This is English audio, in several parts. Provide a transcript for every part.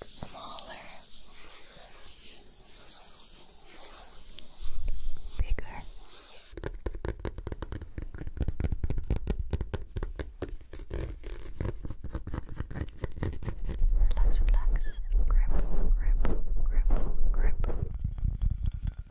Smaller, bigger. Relax, relax, grip, grip, grip, grip.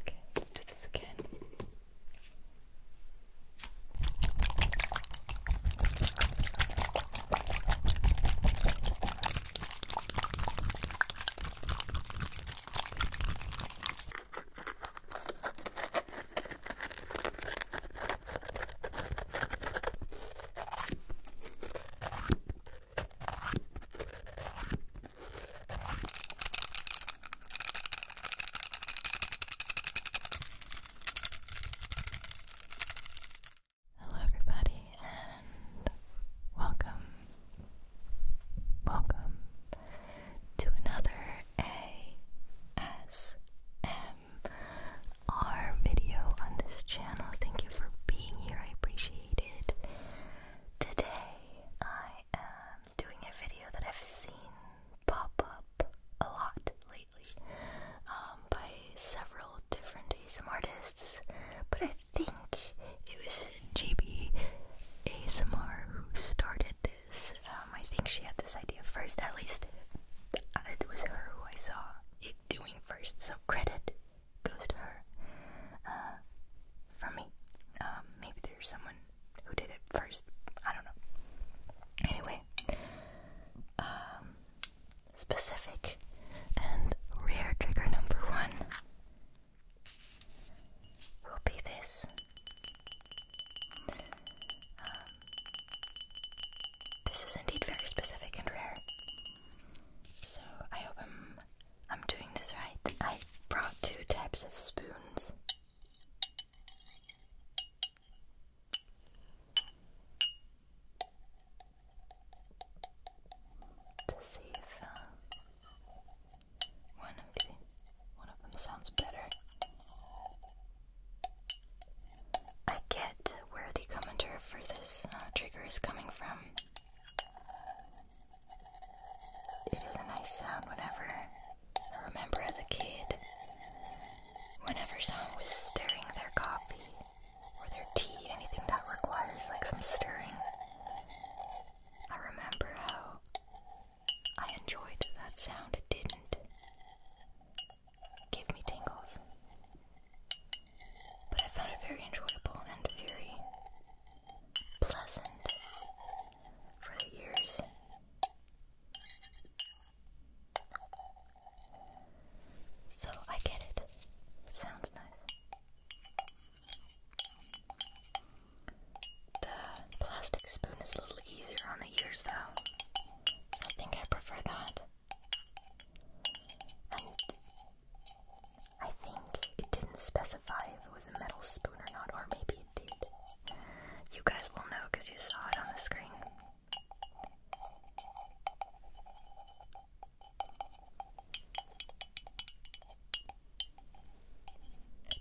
Okay, let's do this again. Hello, everybody, and welcome Welcome to another ASMR video on this channel. Thank you for being here, I appreciate it. Today I am doing a video that I've seen pop up a lot lately um, by several different ASM artists, but I think it was GB ASMR who started this. Um, I think she had this idea first, at least uh, it was her who I saw it doing first, so credit goes to her uh, from me. Um, maybe there's someone who did it first. I don't know. Anyway, um, specific and rare trigger number one will be this. Um, this is indeed very specific and rare. So I hope I'm I'm doing this right. I brought two types of spoons. To see if uh, one of the one of them sounds better. I get where the commenter for this uh, trigger is coming from. It is a nice sound whenever I remember as a kid. Whenever someone was stirring their coffee or their tea, anything that requires like some stirring, I remember how I enjoyed that sound, it didn't give me tingles. But I found it very enjoyable and very pleasant for the ears. So I get it. Sounds nice. The plastic spoon is a little easier on the ears though. I think I prefer that. I think it didn't specify if it was a metal spoon or not, or maybe it did. You guys will know because you saw it on the screen.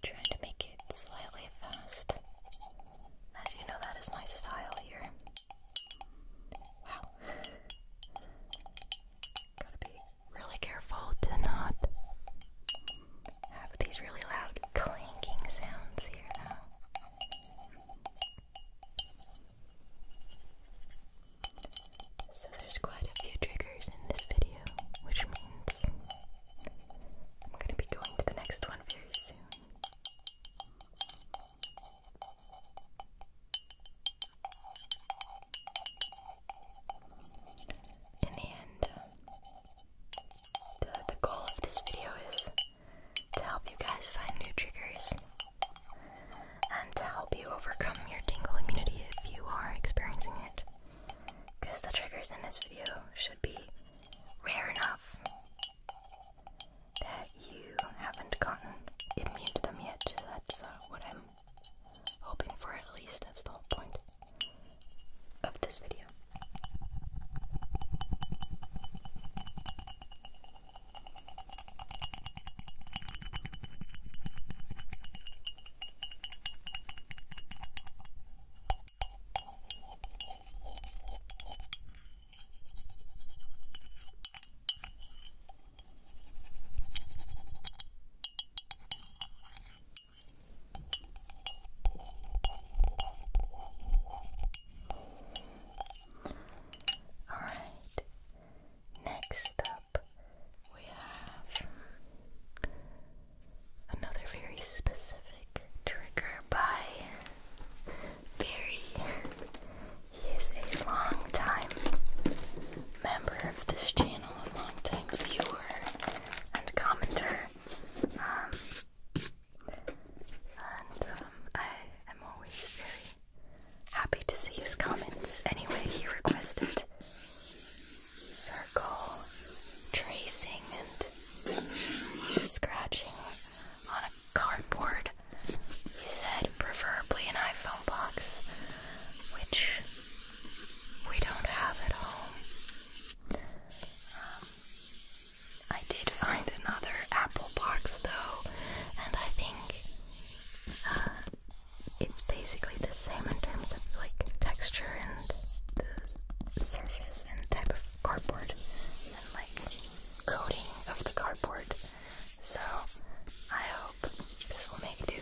Trying to make it slightly fast. As you know, that is my style here. Wow. Gotta be really careful to not have these really loud clanking sounds here, though. So there's quite a few triggers in this video, which means I'm going to be going to the next one very soon. In the end, the, the goal of this video is to help you guys find new triggers and to help you overcome your tingle immunity if you are experiencing it because the triggers in this video should be rare enough that you haven't gotten immune to them yet. that's uh, what I'm hoping for, at least. That's the whole point of this video. All right. Next up, we have another very specific trigger by Barry. He is a long time member of this channel, a long time viewer and commenter. Um, and um, I am always very happy to see his comments. Anyway, he requested circle tracing and scratching on a cardboard. He said, preferably an iPhone box, which we don't have at home. Um, I did find another Apple box though, and I think uh, it's basically the same in terms of like texture and the surface and type of cardboard and like coating of the cardboard. So I hope this will make do.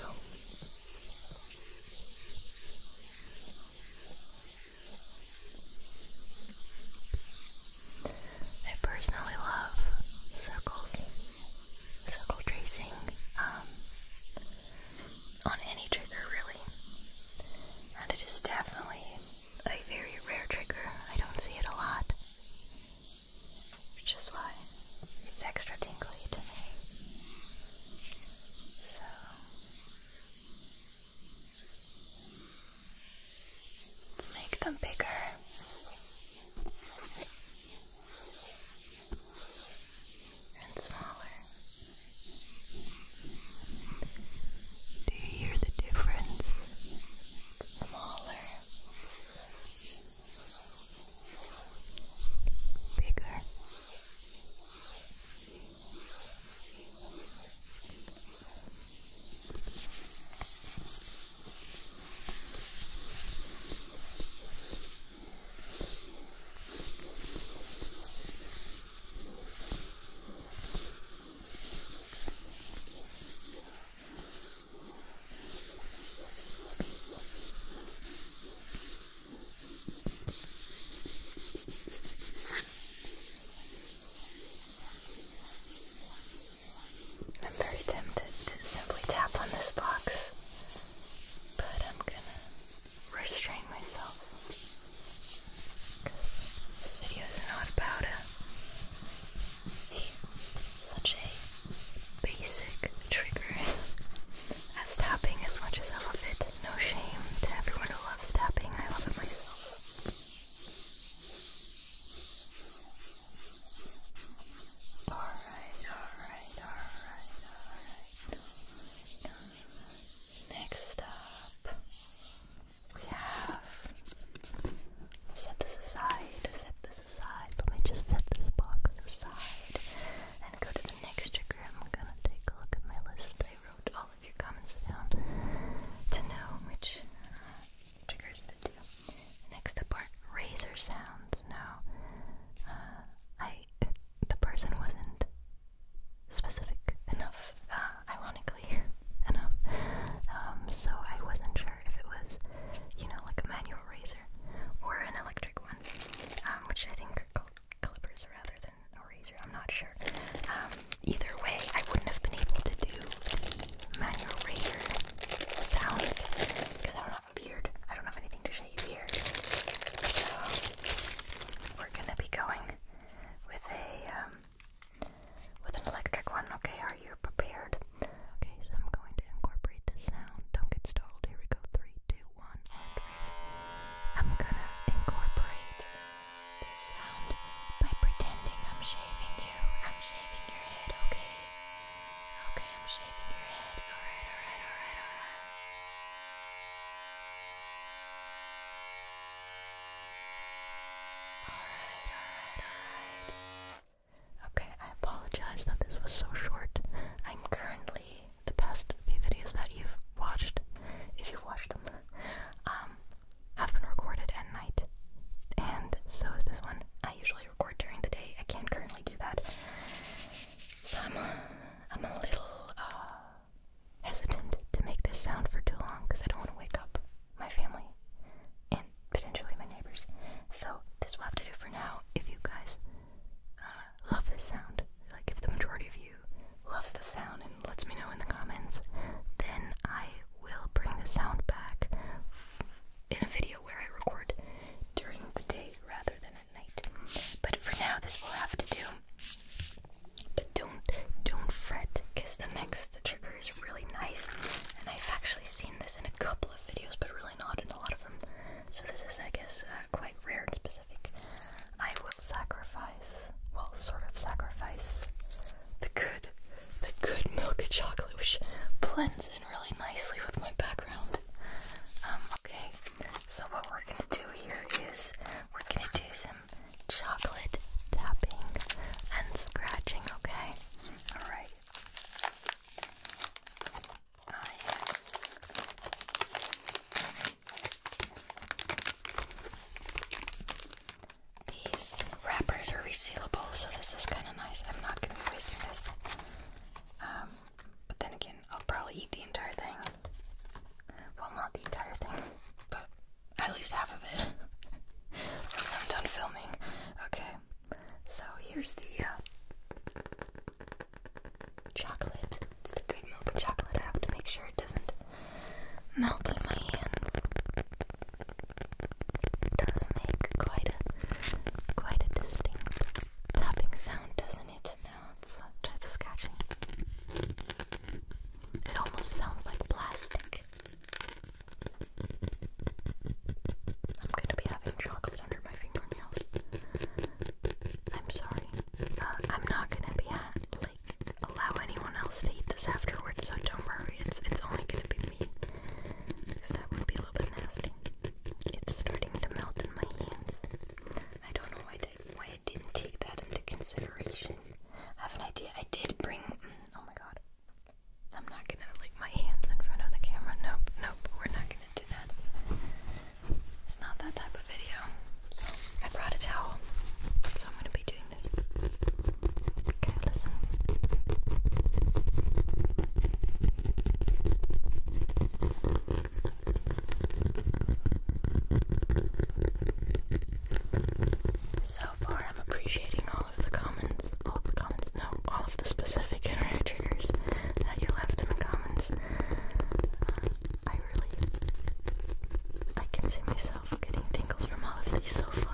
I personally love circles, circle tracing. Um, on any trigger, really. And it is definitely a very rare trigger. I don't see it a lot, which is why it's extra tingly to me. So. Let's make them bigger and smaller. Do you hear the difference? Smaller, bigger. I'm very tempted to simply tap on this box, but I'm gonna restrain myself. This video is not about a, such a basic trigger as tapping as much as I love it. No shame to everyone who loves tapping. I love it myself. Alright, alright, alright, alright. Next up, we have. Set this aside, set this aside. Let me just set this box aside and go to the next trigger. I'm gonna take a look at my list. I wrote all of your comments down to know which uh, triggers to do. Next up are razor sounds. Now, uh, I the person wasn't specific enough, uh, ironically enough. Um, so I wasn't sure if it was, you know, like a manual razor or an electric one, um, which I think are called clippers rather than a razor. I'm not sure. Um, either way, I wouldn't have been able to do the manual razor sounds because I don't have beard. I don't have anything to we're gonna be going with a um, with an electric one. Okay, are you prepared? Okay, so I'm going to incorporate the sound. Don't get startled. Here we go. Three, two, one, and I'm gonna incorporate the sound by pretending I'm shaving you. I'm shaving your head. Okay. Okay, I'm shaving your head. Alright, alright, alright, alright. Alright, alright, alright. Okay, I apologize that this was so short. I'm currently the past few videos that you've watched, if you've watched them, um, have been recorded at night. And so is this one. I usually record during the day. I can't currently do that. So I'm a, I'm a little uh, hesitant to make this sound for too long because I don't want to wake up my family and potentially my neighbors. So this will have to do for now. If you guys uh, love this sound, like if the majority of you loves the sound and lets me know in the comments, then I will bring the sound back in a video where I record during the day rather than at. But for now, this will have to do. But don't don't fret, the next trigger is really nice, and I've actually seen this in a couple of videos, but really not in a lot of them. So this is, I guess, uh, quite rare and specific. I will sacrifice, well, sort of sacrifice the good, the good milk and chocolate, which blends in really nicely with my background. Um, okay, so what we're gonna do here is we're gonna do some chocolate tapping and scratching, okay? Alright. These wrappers are resealable, so this is kind of nice. I'm not going to be wasting this. Um, but then again, I'll probably eat the entire thing. Well, not the entire thing, but at least half of it once I'm done filming. Okay, so here's the uh, chocolate. It's the good milk chocolate. I have to make sure it doesn't melt in my hands. does make quite a quite a distinct topping sound, doesn't it? now let's It almost sounds like plastic. I'm gonna be having chocolate under my fingernails. I'm sorry. Uh, I'm not gonna be at, allow anyone else to eat this afterwards, so don't worry. It's it's only gonna be me. Because that would be a little bit nasty. It's starting to melt in my hands. I don't know why why I didn't take that into consideration. I have an idea. I did bring. Oh my god. I'm not gonna like my hands in front of the camera. Nope, nope. We're not gonna do that. It's not that type of video. So I brought a towel. So I'm gonna be doing this. Okay, listen. So far, I'm appreciating all of the comments, all of the comments, no, all of the specific internet triggers that you left in the comments. Uh, I really, I can see myself getting tingles from all of these so far.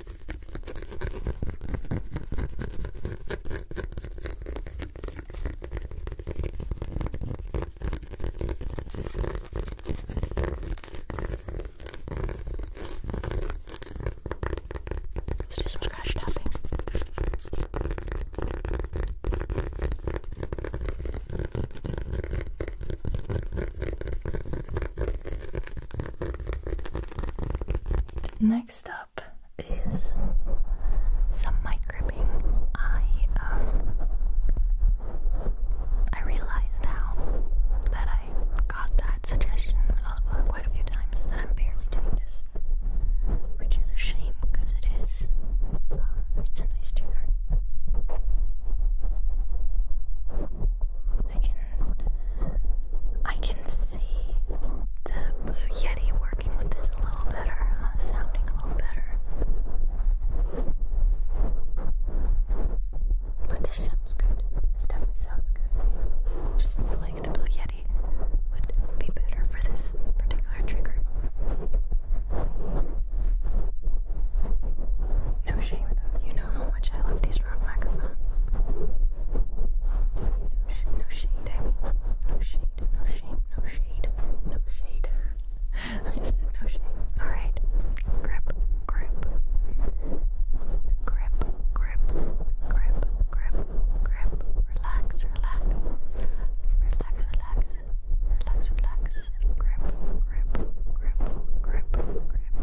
Let's do some scratch tapping. Next up is some mic gripping. I um I realize now that I got that suggestion uh, quite a few times that I'm barely doing this, which is a shame because it is uh, it's a nice trigger. I can I can see the blue yeti working with this a little better, uh, sounding a little better. But this sounds good. This definitely sounds good. Just like the blue yeti would be better for this particular trigger. No shame though, you know how much I love these rock microphones. No, no shade, I No shade, no shade, no shade, no shade. I said no shade. Alright. grip. Grip, grip, grip, grip, grip. Relax, relax. Relax, relax. Relax, relax. Grip, grip, grip, grip, grip.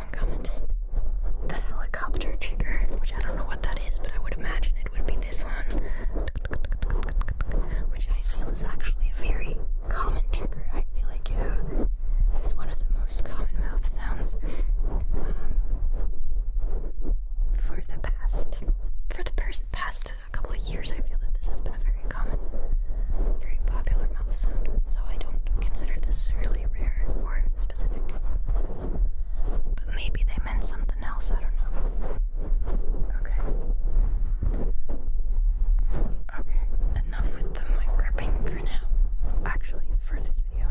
someone commented the helicopter trigger, which I don't know what that is, but I would imagine it would be this one, which I feel is actually a very common trigger. I feel like yeah, uh, it's one of the most common mouth sounds um, for the past for the past couple of years. I feel that this has been a very common, very popular mouth sound. So I don't consider this really rare or but maybe they meant something else, I don't know. Okay. Okay, enough with the mic gripping for now. Actually, for this video.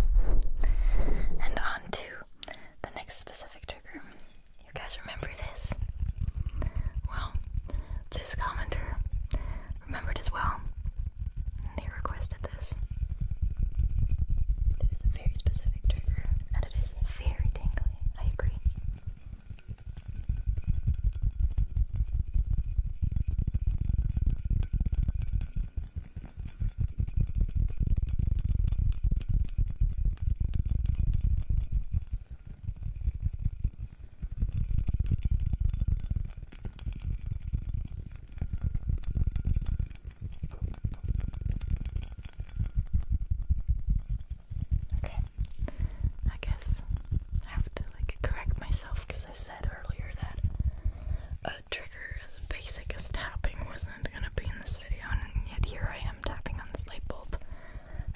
And on to the next specific trigger. You guys remember this? Well, this commenter remembered as well. they requested this. It is a very specific trigger, and it is very tingly. I agree. Okay, I guess I have to like correct myself because I said earlier that a trigger as basic as tapping wasn't gonna be in this video, and yet here I am tapping on the light bulb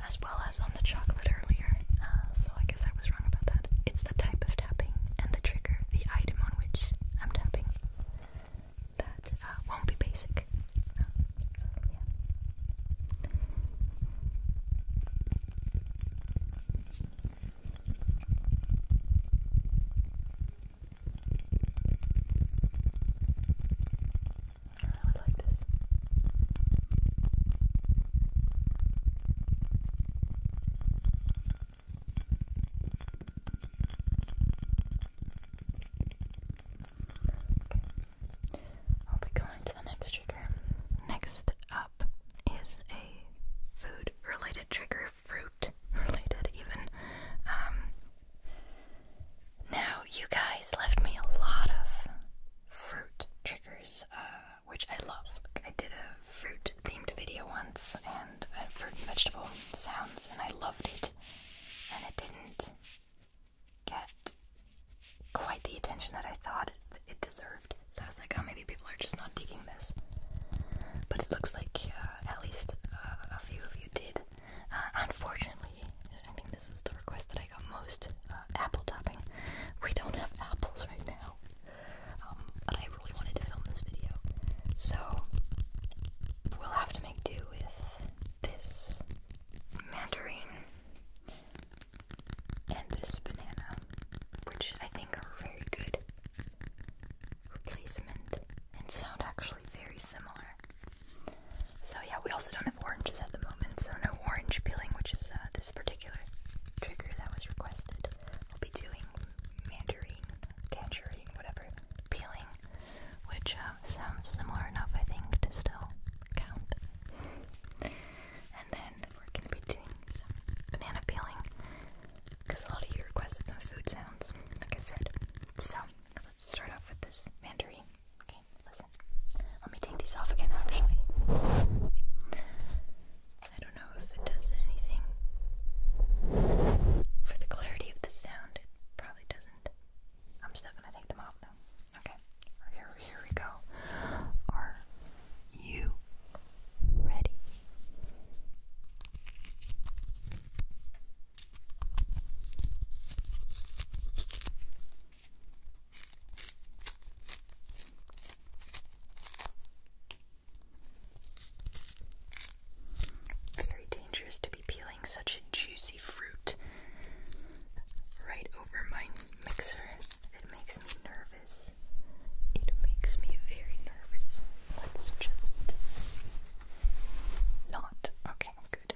as well as on the chocolate earlier. Uh, so I guess I was wrong about that. It's the type of tapping and the trigger, the item on which I'm tapping. That uh, won't be basic. I really like this. I'll be going to the next trigger. Next up is a food related trigger, fruit related even. Um, now, you guys left me a lot of fruit triggers, uh, which I love. I did a fruit themed video once, fruit and vegetable sounds, and I loved it. And it didn't get quite the attention that I thought it, deserved. So I was like, oh, maybe people are just not digging this. But it looks like uh, at least uh, a few of you did. Uh, unfortunately, I think this is the request that I got most apple topping. We don't have apples right now. Um, but I really wanted to film this video. So we'll have to make do with this mandarin and this banana, which I think are very good replacement and sound actually very similar. So yeah, we also don't have oranges at the moment, so no orange peeling, which is uh, this particular trigger that was requested. I'll be doing mandarin, tangerine, whatever, peeling, which uh, sounds similar enough, I think, to still count. and then we're gonna be doing some banana peeling, because a lot of you requested some food sounds, like I said. So let's start off with this mandarin. Okay, listen. Let me take these off again, actually. I don't know if it does anything for the clarity of the sound. It probably doesn't. I'm still gonna take them off though. Okay, here, here we go. Are you ready? Very dangerous to be peeling such a juicy fruit right over my mixer. It makes me nervous. It makes me very nervous. Let's just not. Okay, good.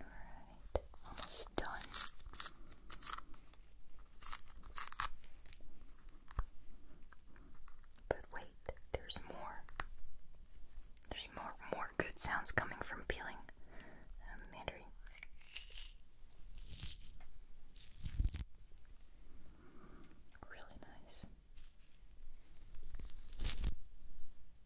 Alright, almost done. But wait, there's more. There's more more good sounds coming from peeling um, mandarin. Really nice. Some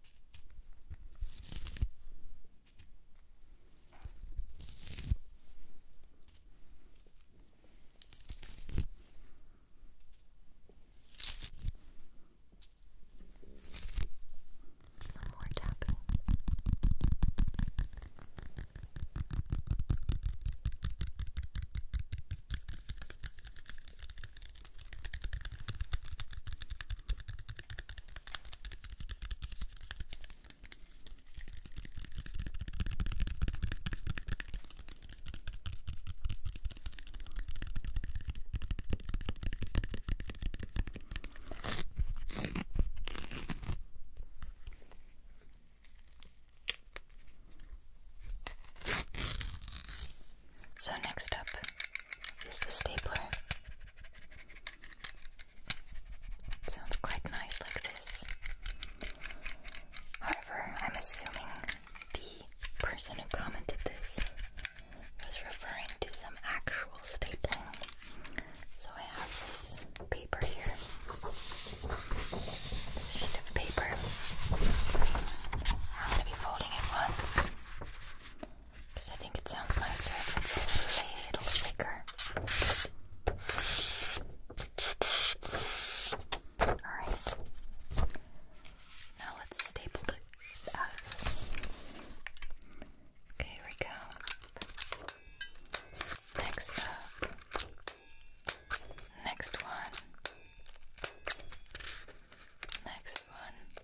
more tapping. So, next up, is the stapler. sounds quite nice like this. However, I'm assuming the person who commented this was referring to some actual stapling. So I have this paper here. This sheet of paper. I'm going to be folding it once. Because I think it sounds nicer if it's a little thicker. Alright. Now let's staple the Okay, here we go. Next up. Next one. Next one.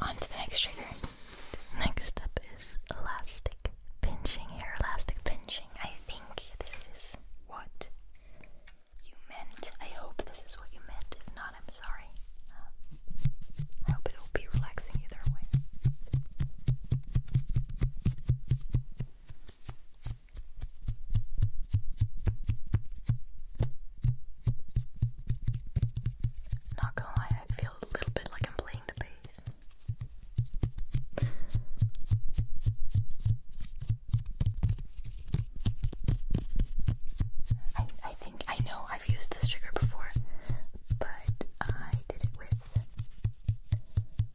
on to the next trigger. Next up is elastic pinching, hair elastic pinching. I think this is what you meant. I hope this is what you meant. If not, I'm sorry. Um, I hope it'll be relaxing either way. Not gonna lie, I feel a little bit like I'm playing the bass. I I think I know I've used this trigger before, but I did it with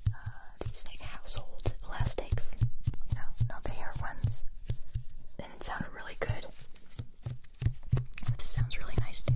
uh, these like household elastics, you know, not the hair ones. And it sounded really good. This sounds really nice too.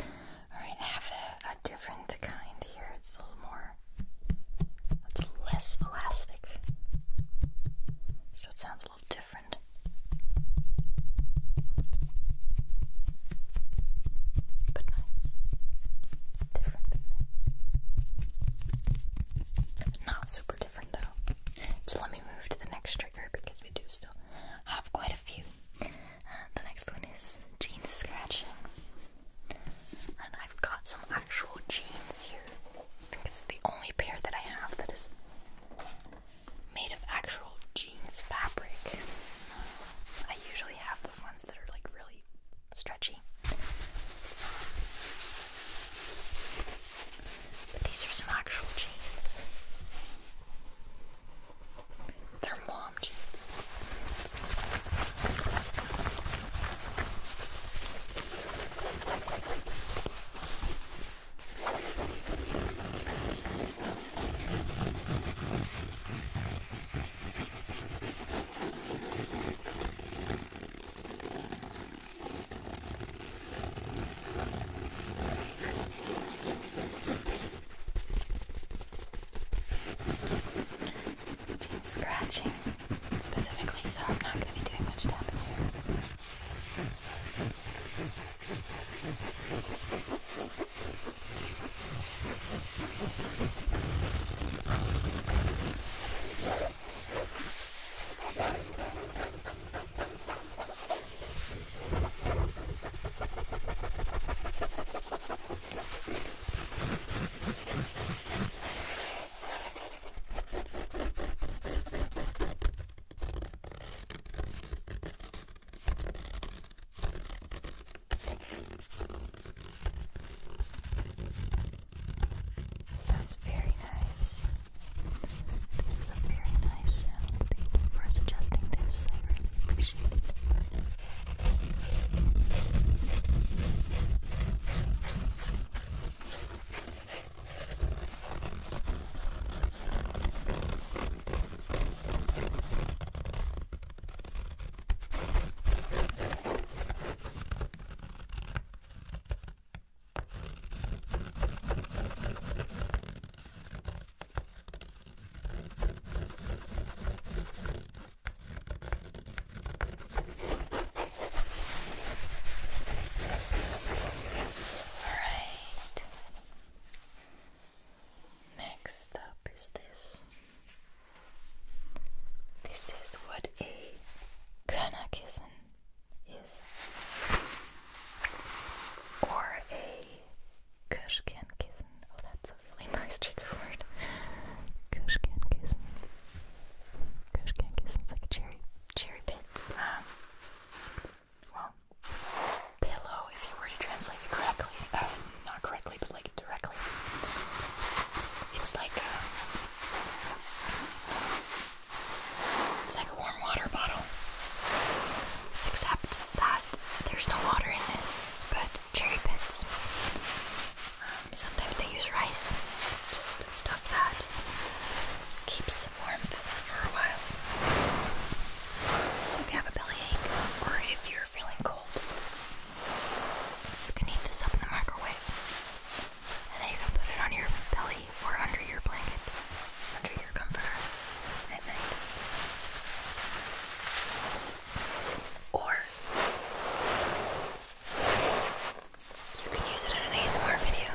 Alright, have a, different kind here. It's a little more, it's less elastic. So it sounds a little different. But nice. Different, but nice. Not super different though. So let me move to the next trigger because because we do still have quite a few. Uh, the next one is jeans scratching. And I've got some actual jeans here. I think it's the only pair that I have that is made of actual jeans fabric. I usually have the ones that are like really stretchy. But these are some actual jeans. They're mom jeans. Just scratching specifically, so I'm not going to be doing much tapping here. Sounds very nice. This is a very nice sound. Thank you for suggesting this. I really appreciate it. Alright. Next up is this. This is what a Kana kissen is or a Kushkin kissen. Oh, that's a really nice trigger word. Kushkin kissen. Kushkin It's like a cherry cherry pit. Um, well, pillow. If you were to translate it correctly, um, not correctly, but like directly, it's like. A, um, it's like a warm water bottle. Except that there's no water in this, but cherry pits. Um, sometimes they use rice, just stuff that keeps warmth for a while. So if you have a bellyache or if you're feeling cold, you can heat this up in the microwave. And then you can put it on your belly away or under your blanket, under your comforter at night. Or you can use it in an ASMR video.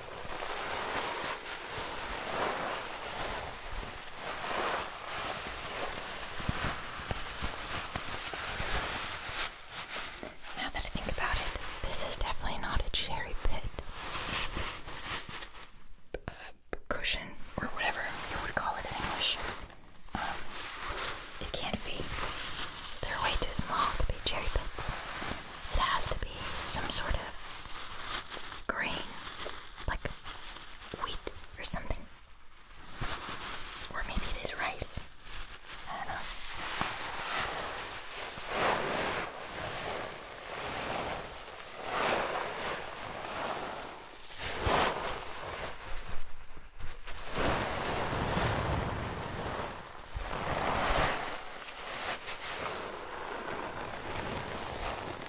Now that I think about it, this is definitely not a cherry pit uh, cushion or whatever you would call it in English. Um, it can't be. So they're way too small to be cherry pits. It has to be some sort of grain like wheat or something. Or maybe it is rice. I don't know.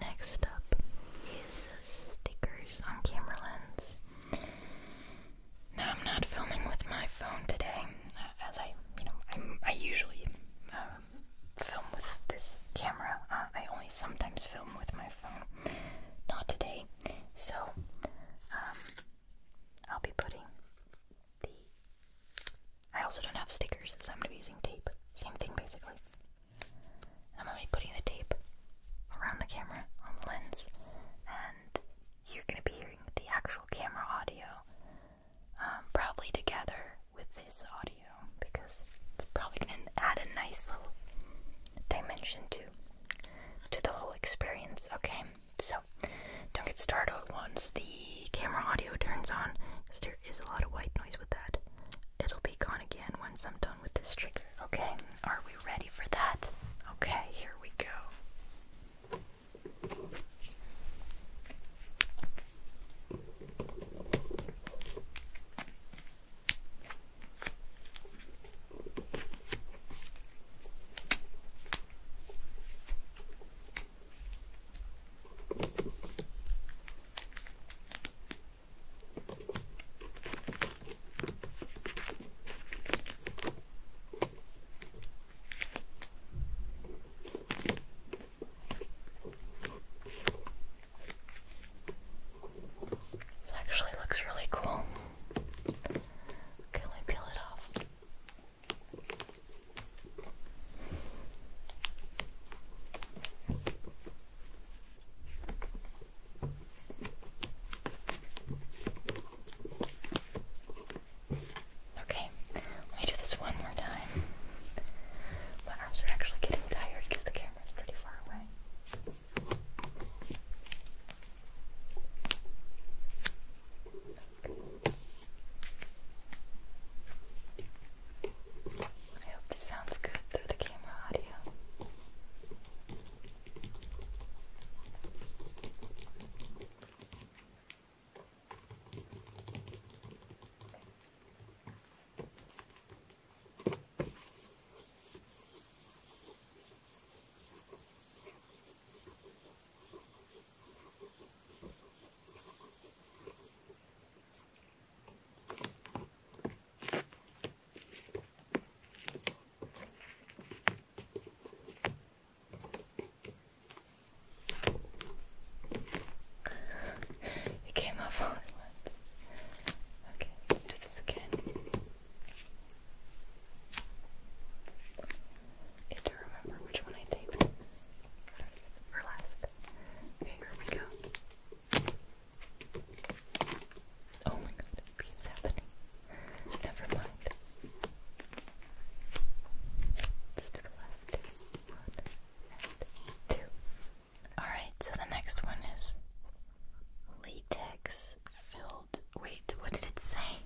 Next up is stickers on camera lens. Now I'm not filming with my phone today, uh, as I, you know, i usually um, film with this camera. Uh, I only sometimes film with my phone, not today. So um, I'll be putting the I also don't have stickers, so I'm going to be using tape. Same thing, basically. I'm going to be putting the tape around the camera on the lens, and you're going to be hearing the actual camera audio, um, probably together with this audio, because it's probably going to add a nice little dimension to to the whole experience. Okay, so don't get startled once the the camera audio turns on, because there is a lot of white noise with that. It'll be gone again once I'm done with this trigger. Okay, are we ready for that? Okay, here we go. This actually looks really cool. Okay, let peel it off. Okay, let me do this one more time. My arms are actually getting tired because the camera is pretty far away. I hope this sounds good through the camera audio it came off all at once. Okay, do this again. need to remember which one I taped first or last. Okay, here we go. Oh my god, it keeps happening. Never mind. Alright, so the next one is latex filled. Wait, what did it say?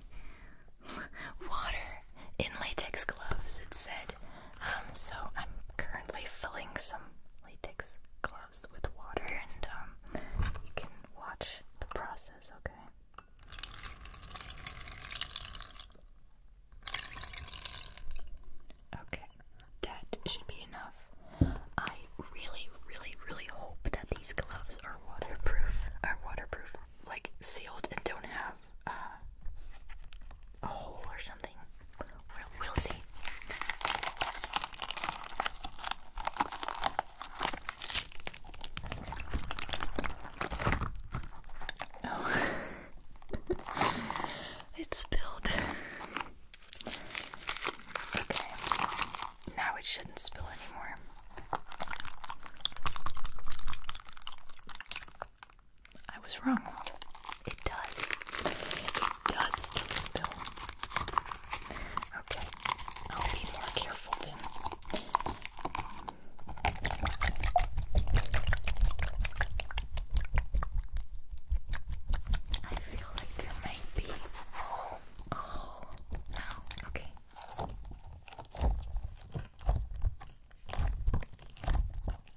Water in latex gloves. It said um, so I'm currently filling some latex gloves with water, and um, you can watch the process, okay? Okay, that should be enough. I really, really, really hope that these gloves are waterproof, are waterproof, like sealed and don't have uh, a hole or something. We'll, see. Oh, it spilled. okay, now it shouldn't spill anymore. I was wrong. It does. It does still spill. Okay, I'll be more careful then. I feel like there might be. Oh, no. Okay.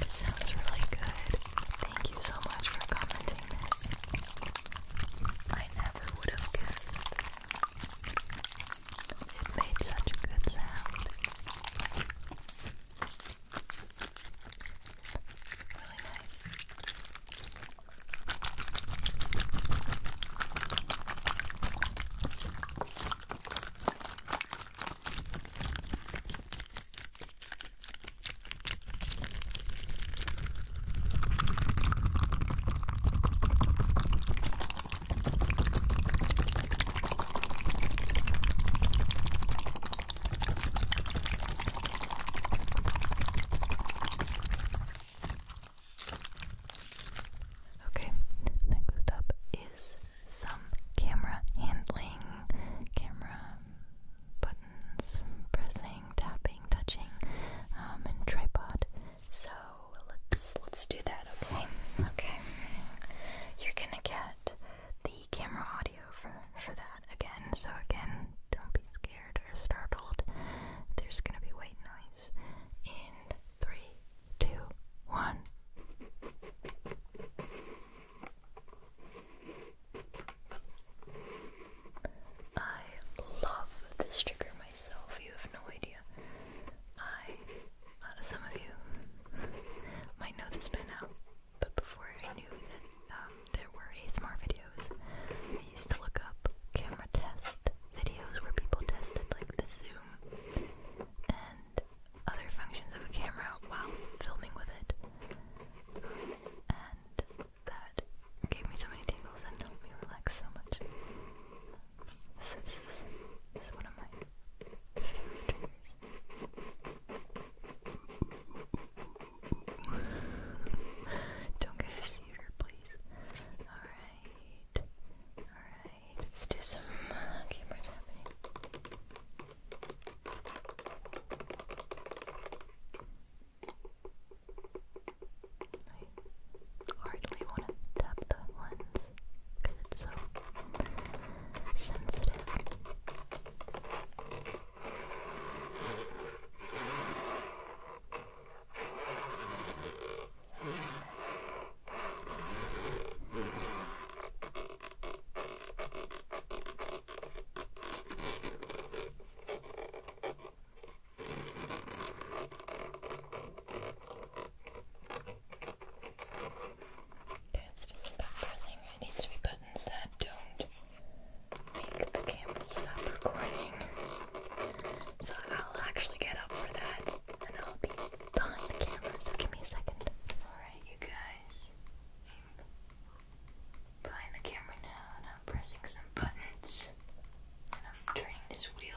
It sounds really good. Thank you so much for commenting this. I never would have guessed. It made such a good sound. Really nice. Okay, next up is some camera handling, camera buttons, pressing, tapping, touching, um, and tripod so let's let's do that, okay? Okay. You're gonna get the camera audio for for that again. So again, don't be scared or startled. There's gonna be white noise. In three, two, one. I love this trigger myself, you have no idea. I uh, some of you might know this by now, but before I knew that um, there were ASMR videos, I used to look up camera test videos where people tested like the zoom and other functions of a camera while filming with it. And that gave me so many tingles and helped me relax so much. this is one of my don't get a seizure, please. Alright. Alright. Let's do some uh, camera tapping. I hardly want to tap the lens because it's so sensitive. Okay, it's just about pressing. It needs to be buttons that don't make the camera stop recording. So I'll actually get up for that and I'll be behind the camera, so give me a second. Alright, you guys. behind the camera now and I'm pressing some buttons. And I'm turning this wheel.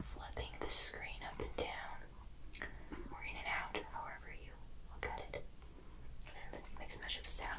Flipping the screen up and down, in and out, however you look it. And it makes much sound.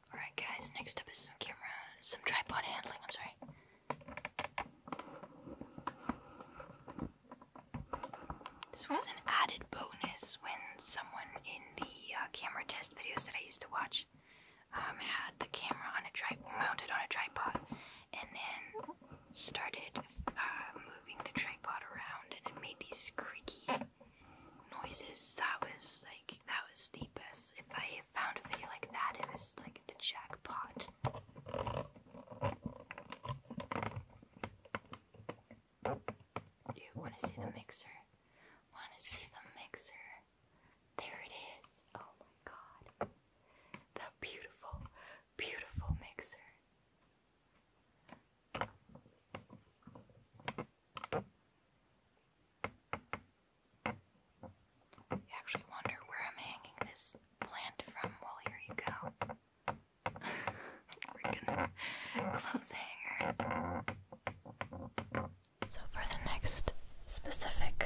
Alright guys, next up is some camera, some tripod handling, I'm sorry. This was an added bonus when someone in the uh, camera test videos that I used to watch um, had the camera on a tripod, mounted on a tripod, and then started uh, moving the tripod around, and it made these creaky noises. That was like that was the best. If I they found a video like that, it was like the jackpot. Do you want to see the mixer? Want to see the mixer? There it is. Oh my god. The beautiful, beautiful mixer. You actually wonder where I'm hanging this plant from. Well, here you go. Freaking clothes hanger. So, for the next specific,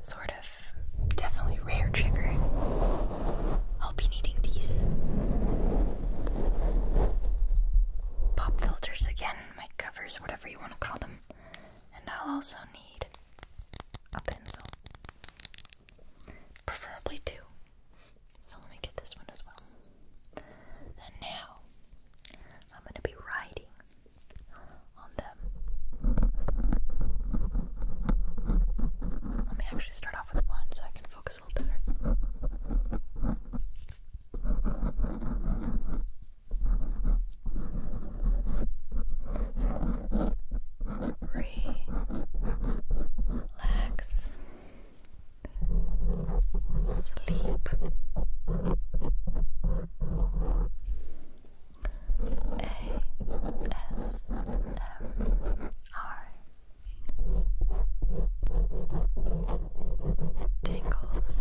sort of definitely rare trigger, I'll be needing these pop filters again, mic covers, whatever you want to call them and I'll also need a pencil. Preferably two. So let me get this one as well. And now I'm going to be writing on them. Let me actually start off with one so I can focus a little better relax, sleep, ASMR tingles.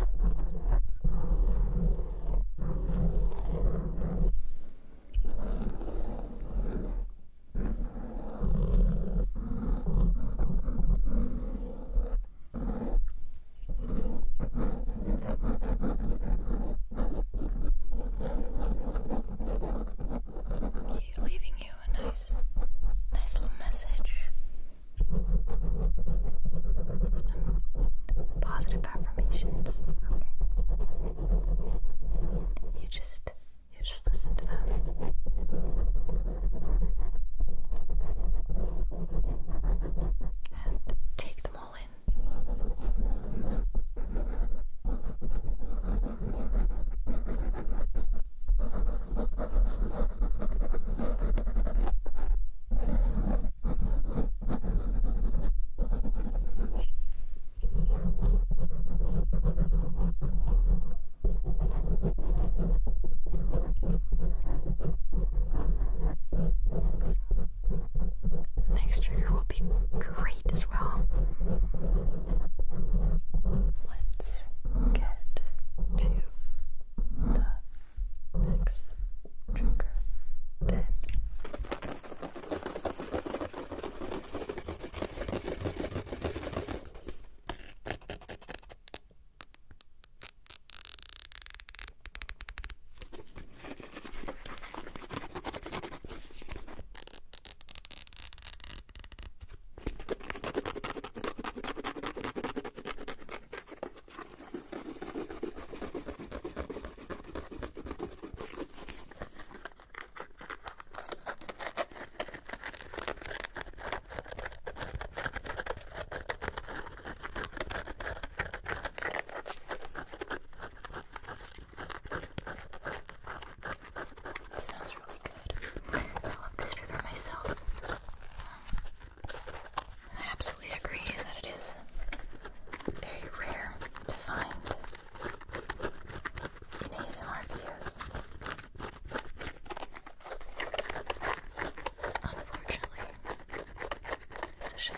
Leaving you a nice, nice little message some positive affirmations. Okay. You just you just listen to them. And take them all in. The next trigger will be great as well. Let's get to the next trigger, then it sounds really good. I love this trigger myself. I absolutely agree that it is very rare to find in ASMR videos. Unfortunately, it's a shame.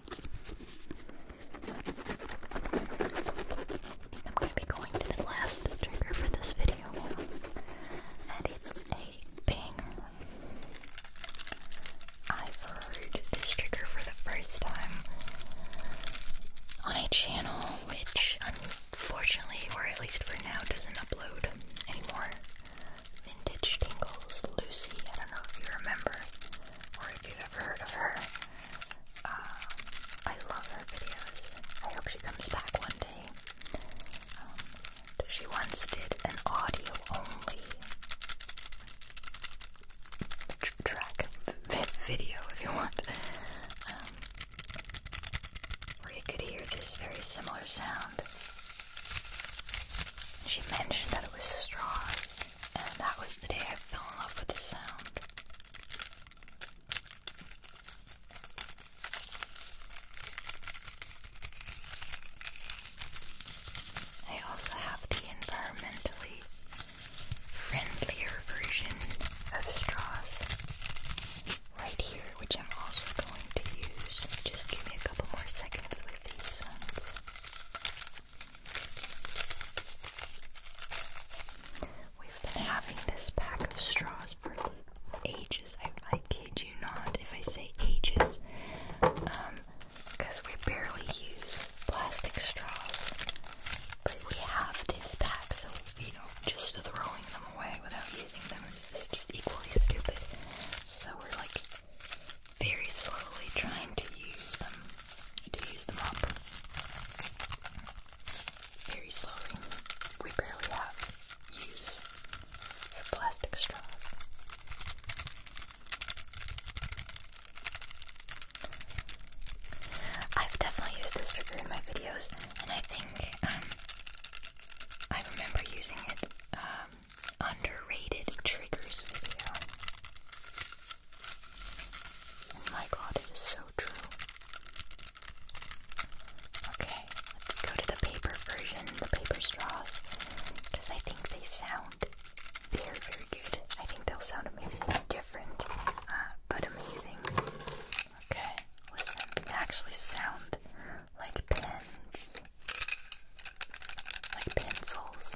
I'm going to be going to the last trigger for this video, and it's a banger. i heard this trigger for the first time on a channel which, unfortunately, or at least for now, doesn't upload anymore. Vintage Tingles Lucy, I don't know if you remember or if you've ever heard of her. Um, I love her videos. I hope she comes back one day. Um, she once did an audio only track video, if you want, um, where you could hear this very similar sound. She mentioned that it was straws and that was the day I fell in love with the sound. I also have the environmentally friendlier version of straws right here, which I'm also going to use. Just give me a couple more seconds with these ones. We've been having this pack of straws for ages. I, kid you not if I say ages. Because um, we barely use plastic straws. But we have this pack, so, you know, just throwing them away without using them is just equally stupid. So we're like very slowly trying to use them I do use the mop very slowly. We barely have use plastic straws. I've definitely used this figure in my videos, and I think um, I remember using it um, underrated triggers video. Oh my god, it is so true. Okay, let's go to the paper version, the paper straws, because I think they sound very, very good. I think they'll sound amazing. Different, uh, but amazing. Okay, listen, they actually sound like pens, like pencils.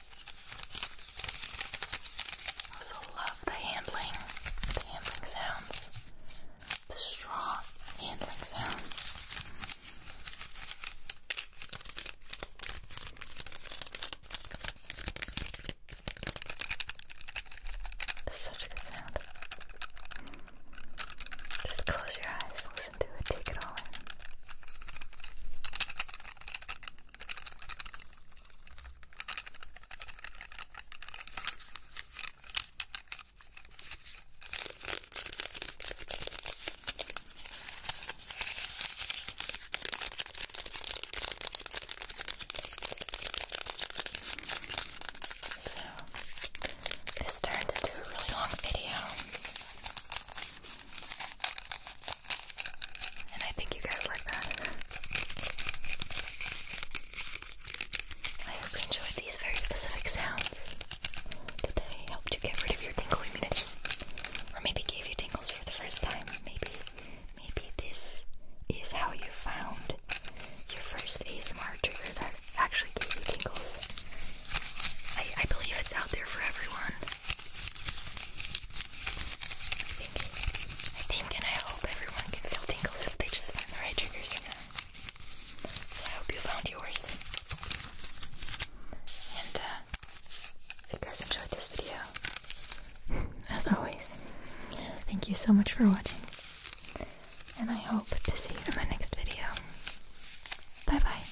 I also love the handling, the handling sounds, the strong handling sounds. That's such a good sound. Just close your eyes, listen to it, take it all in. So, this turned into a really long video. And I think you guys like that. I hope you enjoyed these very specific sounds. Did they help you get rid of your tingle immunity? Or maybe gave you tingles for the first time? Maybe, maybe this is how you found your first ASMR trigger that actually gave you tingles. I, I believe it's out there for everyone. I think and I hope everyone can feel tingles if they just find the right triggers So I hope you found yours. And uh, if you guys enjoyed this video, as always, thank you so much for watching. And I hope to see you in my next video. Bye bye.